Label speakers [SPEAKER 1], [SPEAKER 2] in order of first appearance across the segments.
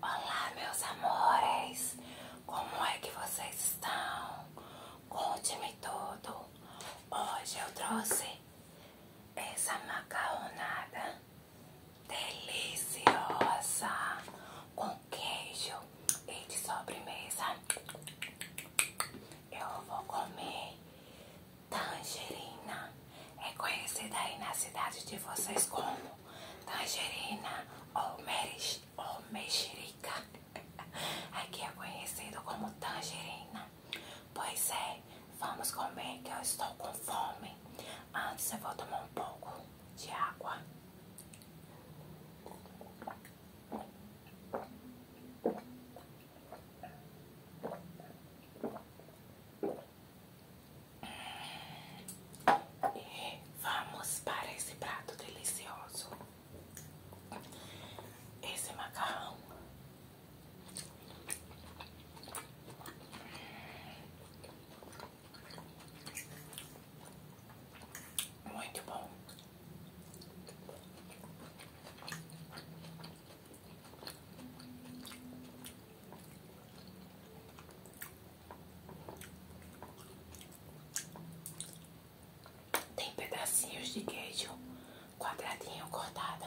[SPEAKER 1] Olá, meus amores! Como é que vocês estão? Conte-me tudo! Hoje eu trouxe essa macarronada deliciosa com queijo e de sobremesa eu vou comer tangerina. É conhecida aí na cidade de vocês como tangerina ou, meris, ou mexerica. Aqui é conhecido como tangerina. Pois é, vamos comer que eu estou com fome. Antes eu vou tomar um pouco de água. Vamos para esse prato delicioso. Esse macarrão muito bom. Tem pedacinhos de queijo quadradinho cortado.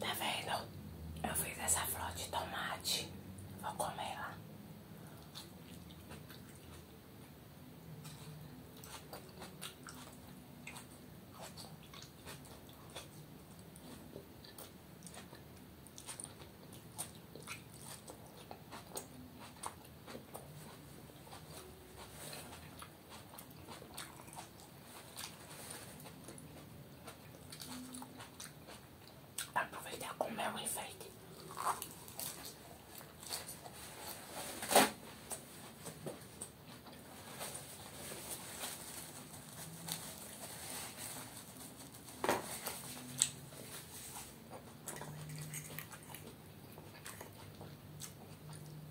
[SPEAKER 1] Tá vendo? Eu fiz essa flor de tomate. Vou comer lá. Aproveitar com meu enfeite.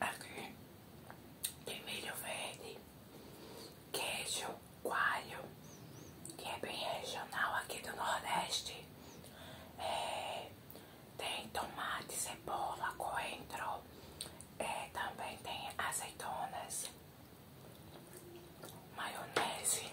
[SPEAKER 1] Aqui tem milho verde, queijo, coalho, que é bem regional aqui do Nordeste. É, tem tomate, cebola, coentro, é, também tem azeitonas, maionese.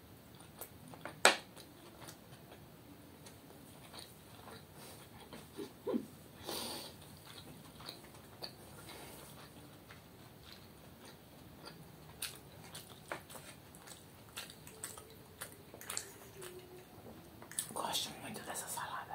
[SPEAKER 1] Gosto muito dessa salada.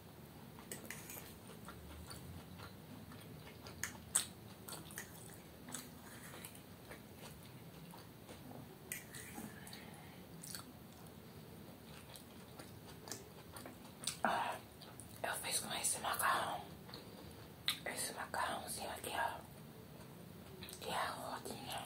[SPEAKER 1] Ah, eu fiz com esse macarrão, esse macarrãozinho aqui, ó, que é a rodinha.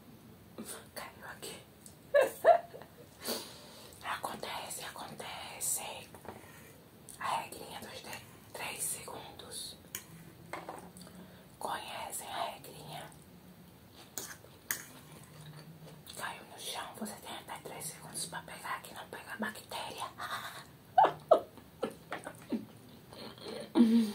[SPEAKER 1] Caiu aqui. Acontece, acontece. A regrinha dos três segundos. Conhecem a regrinha? Caiu no chão, você tem até três segundos pra pegar aqui não pegar bactéria.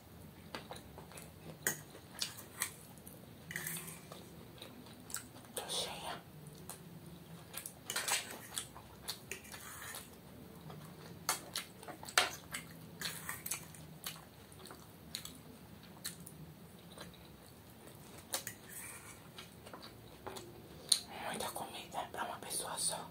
[SPEAKER 1] Tô cheia. Muita comida pra uma pessoa só.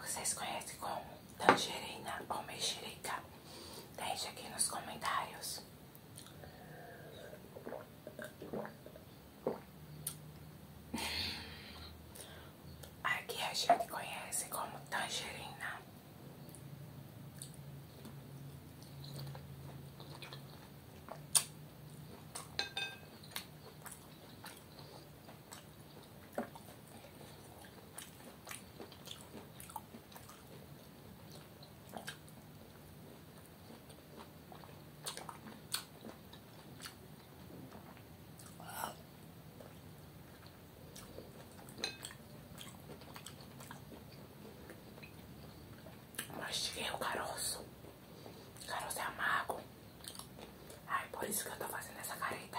[SPEAKER 1] Vocês conhecem como tangerina ou mexerica? Deixe aqui nos comentários. Aqui a gente conhece como tangerina. Mas tirei é o caroço você é amargo. Ai, por isso que eu estou fazendo essa careta.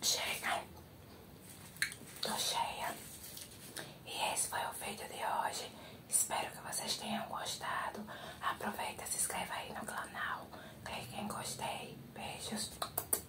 [SPEAKER 1] Chega, tô cheia. E esse foi o vídeo de hoje. Espero que vocês tenham gostado. Aproveita, se inscreva aí no canal. Clique em gostei. Beijos.